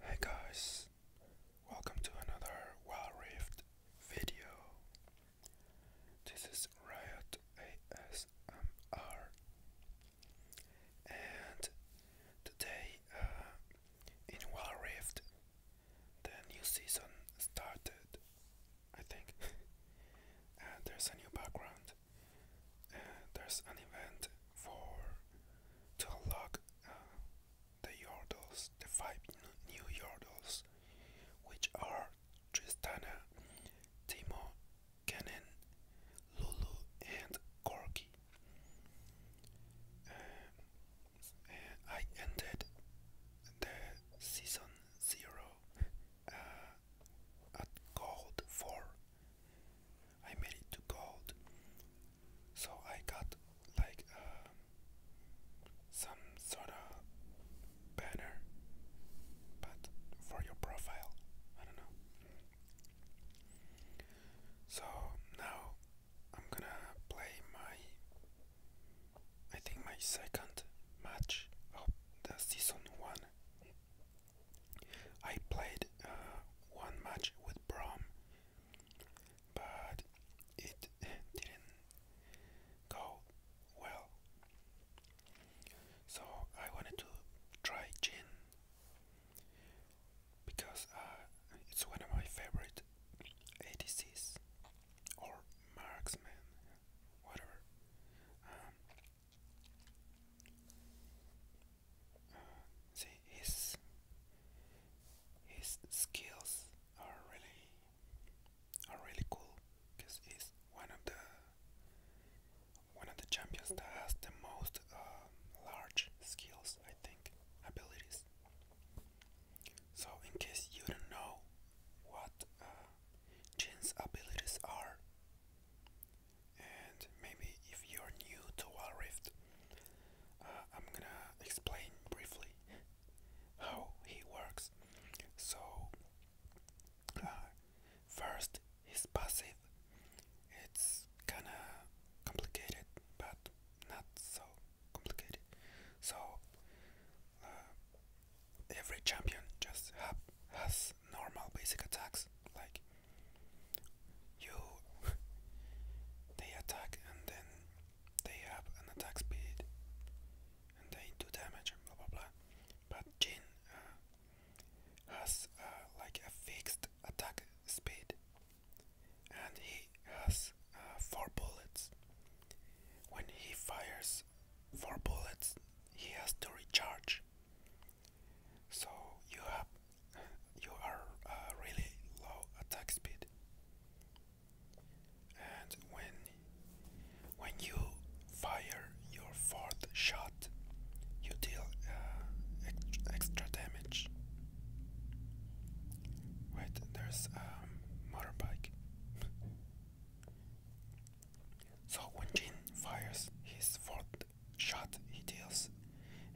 Hey guys, welcome to another well riffed video. This is Riot ASMR, and today uh, in well rift the new season started. I think, and there's a new background event. there's an event for to unlock uh, the yordles, the five new yordles, which are Tristana, Timo, Kennen, Lulu, and Corky. Uh, I ended the season zero uh, at gold four. I made it to gold. So I got like uh, some sort of banner, but for your profile, I don't know. So now I'm gonna play my, I think my second match of the season one. I played uh, one match with Brom, but it didn't go well. So I wanted to try gin because uh, it's one of my favorite ADCs or marksmen, whatever. Um, his his skills are really are really cool because he's one of the one of the champions that has the most um, large skills, I think, abilities. So, in case you don't know what uh, Jin's abilities are, and maybe if you're new to Wild Rift, uh, I'm gonna explain briefly how he works. So, uh, first, his passive. It's kinda complicated, but not so complicated. So, uh, every champion just have, has normal basic attacks like you they attack and then they have an attack speed and they do damage and blah blah blah but Jin uh, has uh, like a fixed attack speed and he has uh, four bullets when he fires four bullets he has to recharge so you have you are uh, really low attack speed and when when you fire your fourth shot you deal uh, extra damage Right there's a um, motorbike so when Jin fires his fourth shot he deals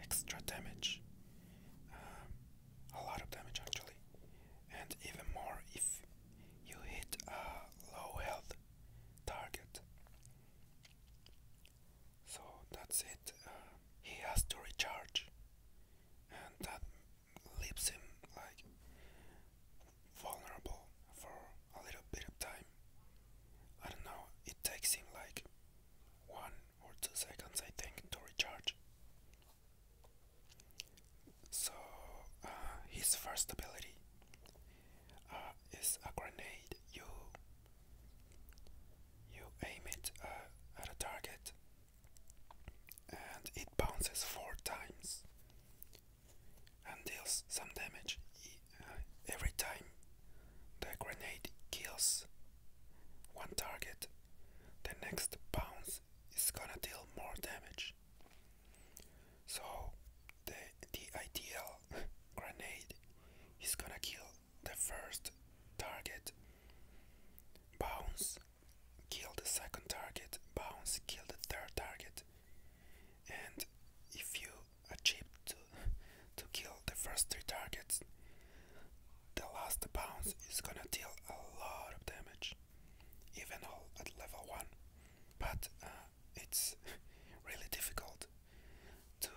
extra damage uh, a lot of damage actually and even more if you hit a low health target so that's it he has to recharge and that leaves him like vulnerable for a little bit of time I don't know it takes him like one or two seconds, I think, to recharge. So, uh, his first ability uh, is a grenade. You you aim it uh, at a target, and it bounces four times and deals some damage. Uh, every time the grenade kills one target, the next bounce is gonna deal more damage. So the, the ideal grenade is gonna kill the first target, bounce, kill the second target, bounce, kill the third target. And if you achieved to, to kill the first three targets. The last bounce is gonna deal a lot of damage, even all at level 1, but uh, it's really difficult to,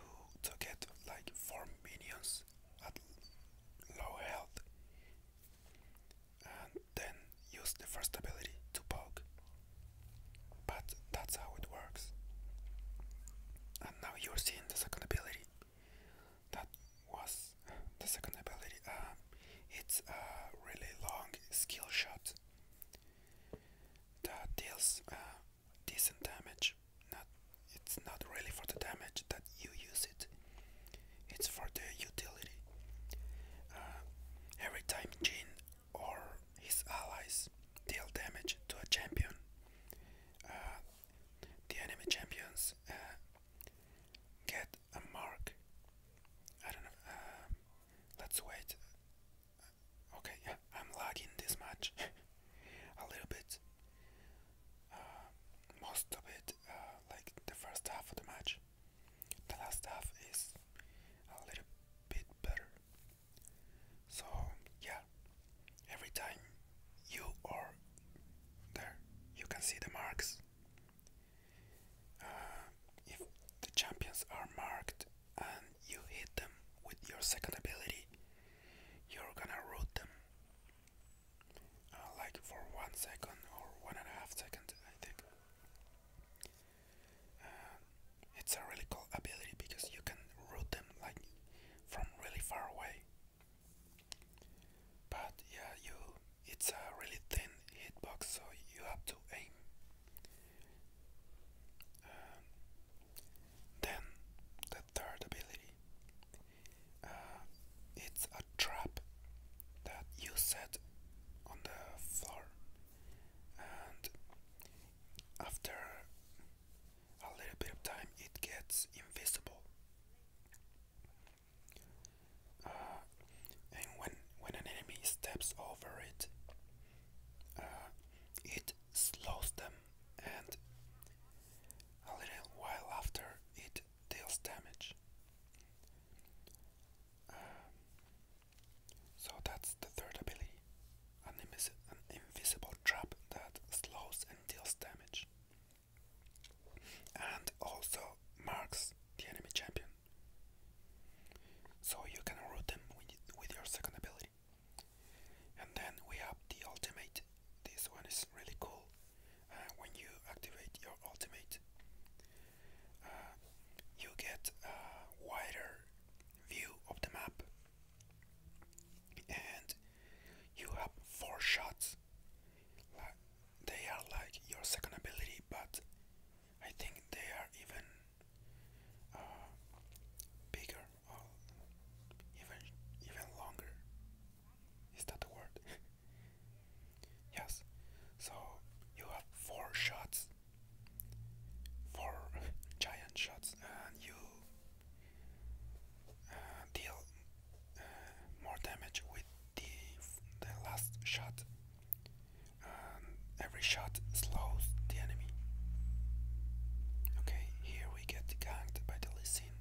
to get like 4 minions at low health and then use the first ability to poke but that's how it works. And now you're seeing the second ability. That was the second ability. Um, it's a really long skill shot that deals uh, decent damage. Not, it's not really for the damage that you use it. It's for the utility. Uh, every time Jin or his allies deal damage to a champion. Uh, the enemy champions uh, get a mark. I don't know. Um, let's wait. Uh, okay, yeah, I'm lagging this much a little bit. most of it, like the first half of the match. The last half is a little bit better. So, yeah, every time you are there, you can see the marks. Uh, if the champions are marked and you hit them with your second ability, you're gonna root them uh, like for one second or one and a half second, I think. Uh, it's a really cool ability because you can root them like from really far away. But yeah, you it's a really thin hitbox, so you have to aim. Um, then the third ability, uh, it's a trap that you set on the floor, and after a little bit of time it gets invisible uh, and when when an enemy steps over it uh, it slows them and a little while after it deals damage uh, so that's the third ability an, invisible trap that slows and deals damage, and also marks the enemy champion. So you can root them with your second ability. And then we have the ultimate. This one is really cool. Uh, when you activate your ultimate, uh, you get a wider view of the map and you have four shots. they are like your second ability, but I think they are even uh, bigger even even longer. Is that the word? yes. So you have four shots, four giant shots, and you deal uh, more damage with the, the last shot. every shot slows the enemy. Okay, here we get ganked by the Lee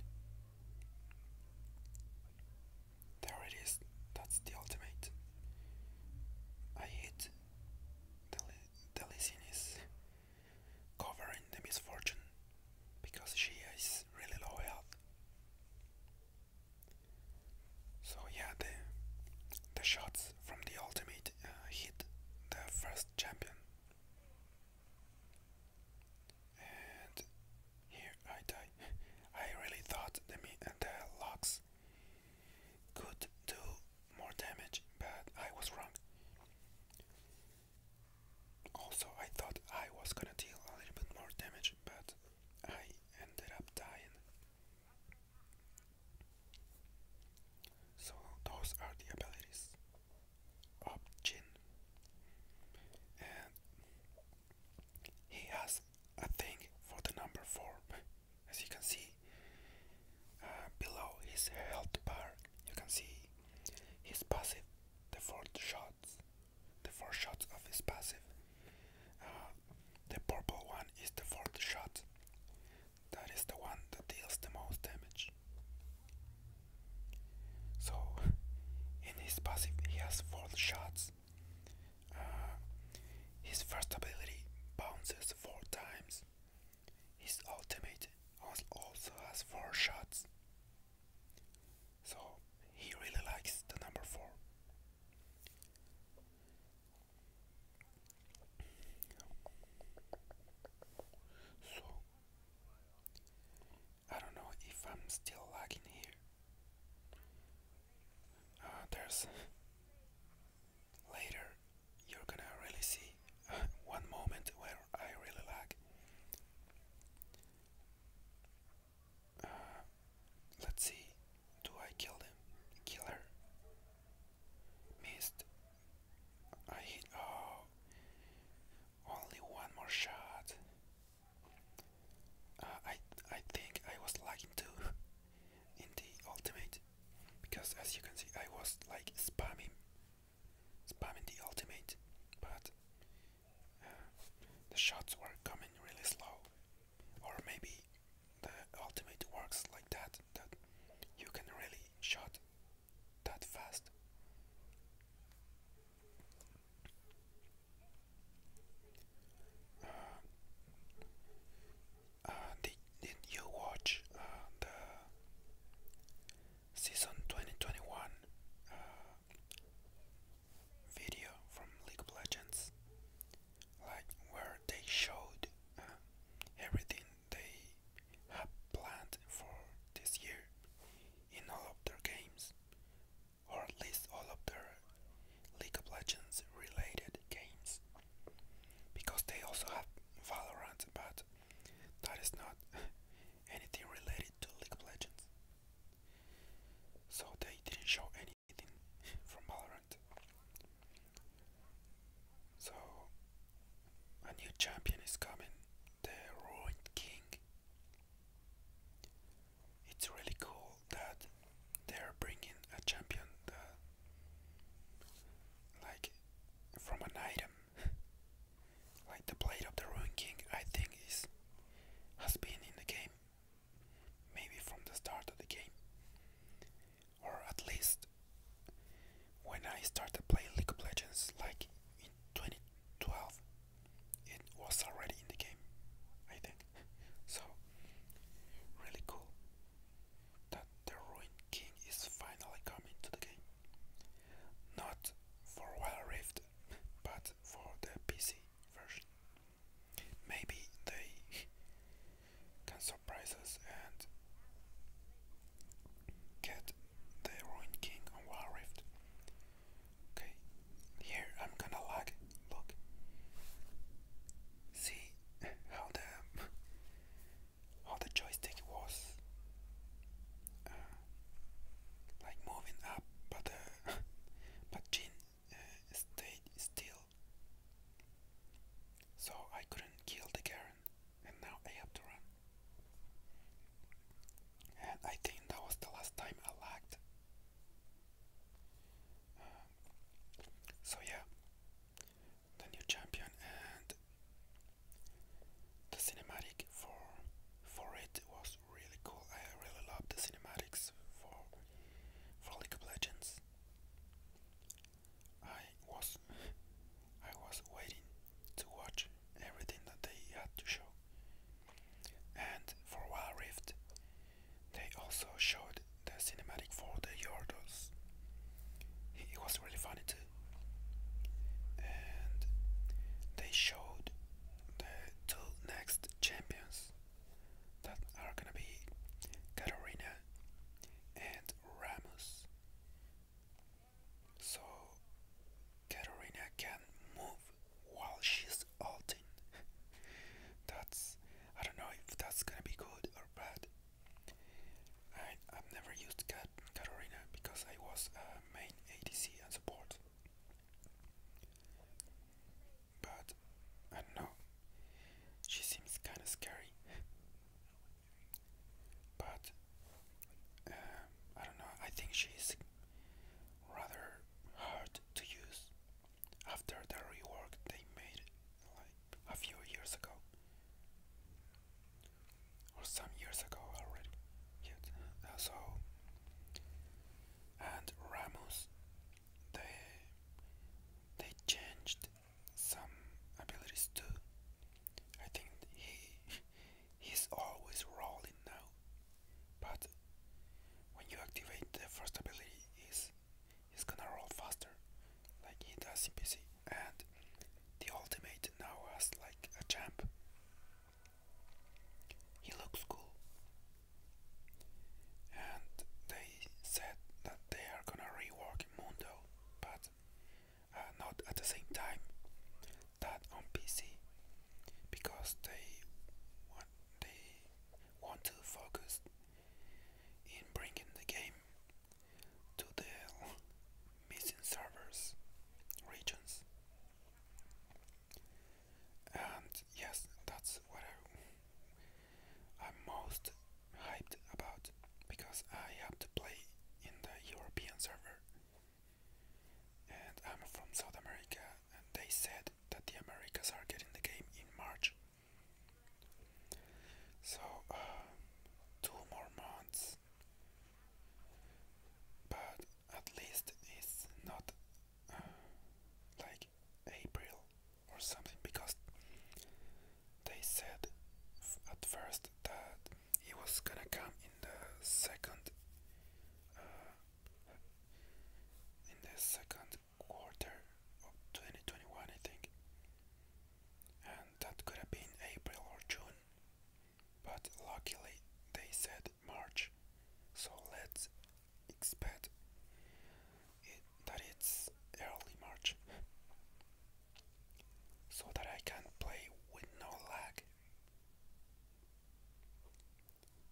There it is, that's the ultimate. I hit the, the is covering the misfortune because she is really low health. So yeah, the the shots from the ultimate uh, hit the first champion. And here I die. I really thought the, the locks could do more damage, but I was wrong. Also, I thought I was gonna deal a little bit more damage, but I ended up dying. So, those are the abilities of Jin. And he has a thing for the number 4. As you can see, uh, below his health bar you can see his passive the four shots the four shots of his passive uh, the purple one is the fourth shot that is the one that deals the most damage so in his passive he has four shots uh, his first ability bounces four times his ultimate also has 4 shots. So he really likes the number 4. So I don't know if I'm still lagging here. Uh, there's later you're gonna really see uh, one moment where I really lag. Uh, let's see. Do I kill him? Kill her? Missed. I hit. Oh, only one more shot. Uh, I I think I was lagging too in the ultimate because as you can see I was like spamming spamming the ultimate, but uh, the shots were coming really slow. Or maybe the ultimate works like that, that you can really shot that fast. Uh, uh, did, did you watch the season 2021 uh, video from League of Legends, like where they showed uh, everything they have planned for this year in all of their games, or at least all of their League of Legends related games, because they also have Valorant, but that is not anything related to League of Legends. So they didn't show anything from Valorant. So a new champion is coming, the Ruined King. It's really cool that they're bringing a champion like, from an item. like the blade of the Ruin King, I think is has been in the game, maybe from the start of the game, or at least when I started playing League of Legends, like in 2012, it was already in the game, I think. So really cool the Ruined King is finally coming to the game. Not for Wild Rift, but for the PC version. Maybe they can surprise and get the Ruined King on Wild Rift. Okay, here I'm gonna lag. Look, see how the how the joystick was uh, like moving up, but uh, but Jin uh, stayed still, so I couldn't kill the Garen, and now I have to run. And I think that was the last time I lagged. Um, so yeah, the new champion and the cinematic for for it was really cool. I really loved the cinematics for for League of Legends. I was I was waiting to watch everything that they had to show. And for Wild Rift, they also showed the cinematic for the Yordles. It was really funny too. And they showed the two next champions that are gonna be Katarina and Ramos. So Katarina can move while she's ulting. that's I don't know if that's gonna be good or bad. I I've never used cat Carolina because I was uh, a main ADC and support. But I don't know. She seems kind of scary. But uh, I don't know. I think she's rather hard to use after the rework they made a few years ago or some years ago already. Yet, uh, so and Ramos, they they changed some abilities too. I think he he's always rolling now, but when you activate the first ability, is he's gonna roll faster, like he does in PC and the ultimate now has like a champ. He looks cool. And they said that they are gonna rework Mundo, but uh, not at the same time that on PC because they want they want to focus in bringing the game to the missing servers regions. And yes, that's what I, am most hyped about because I have to play in the European server. And I'm from South America, and they said that the Americas are getting the game in March. So, uh, two more months but at least it's not uh, like April or something because they said at first that it was gonna come in the second uh, in the second quarter of 2021 I think and that could have been April or June but luckily they said March, so let's expect that it's early March so that I can play with no lag.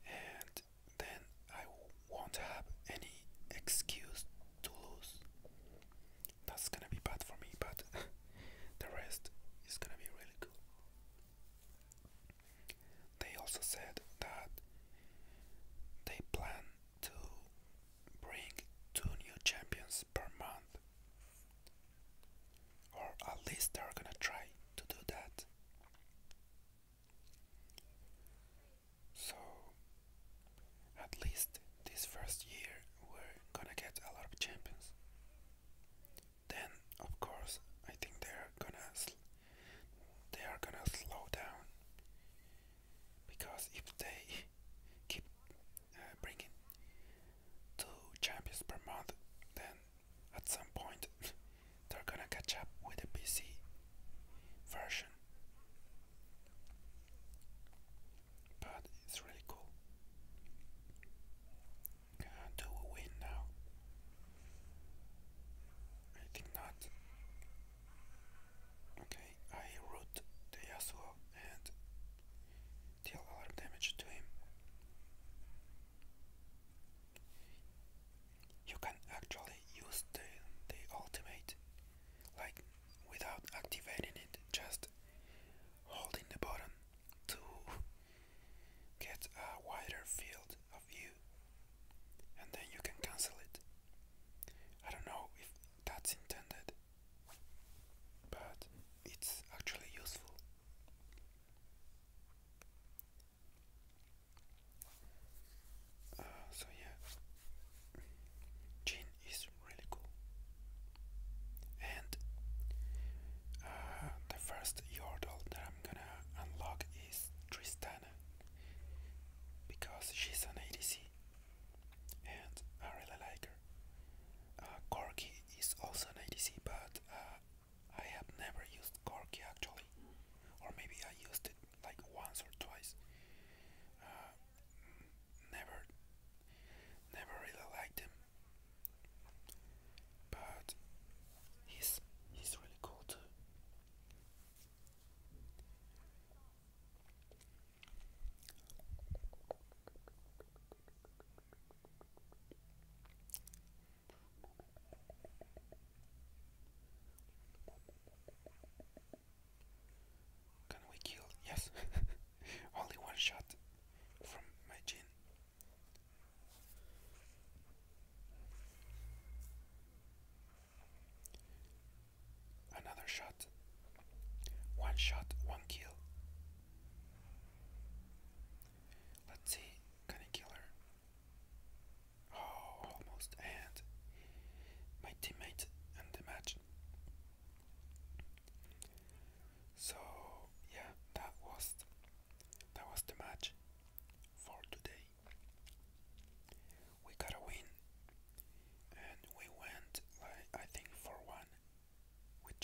And then I won't have any excuse to lose. That's gonna be bad for me, but The rest is gonna be really cool. They also said that they plan to bring two new champions per month, or at least they're gonna try to do that. So, at least this first year, we're gonna get a lot of champions. Then, of course, I think they are gonna they are gonna slow down because if they keep uh, bringing two champions per month, then at some point they're gonna catch up with the PC version but it's really cool. do we win now? I think not. Okay, I root the Yasuo and deal a lot of damage to him. You can actually use the, the ultimate like without activating it, just holding the button to get a wider field of view and then you can cancel it. I don't know if that's intended, but it's actually useful. Uh, so yeah, Jin is really cool. And uh, the first Yordle that I'm gonna unlock is Tristana because she's an ADC and I really like her. Uh, Corki is also an ADC, but uh, I have never used Corki actually, or maybe I used it like once or twice. Uh, never Never really liked him, but he's he's really cool too. Can we kill? Yes. Only one shot from my gin. Another shot. One shot, one kill. Let's see, can I kill her? Oh, almost, and my teammate and the match. So yeah, that was that was the match for today. We got a win, and we went like I think for one with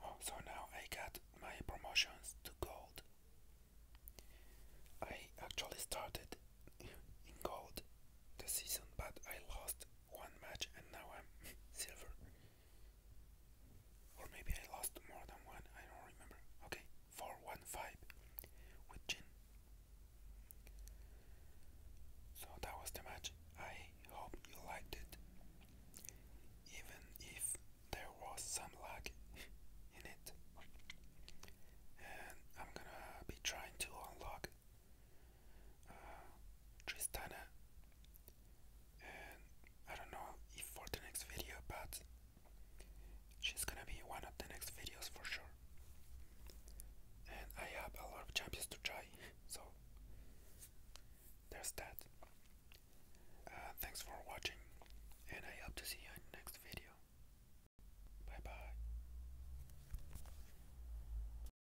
Oh, so now I got my promotions to gold. I actually started in gold the season, but I lost one match and now I'm silver. Or maybe I lost more than one, I don't remember. Okay, 415 with Jin. So that was the match. I hope you liked it. Even if there was some lag in it. And I'm gonna be trying to unlock Tristana, I don't know if for the next video, but she's gonna be one of the next videos for sure. And I have a lot of champions to try, so there's that. Uh, thanks for watching, and I hope to see you in the next video. Bye bye.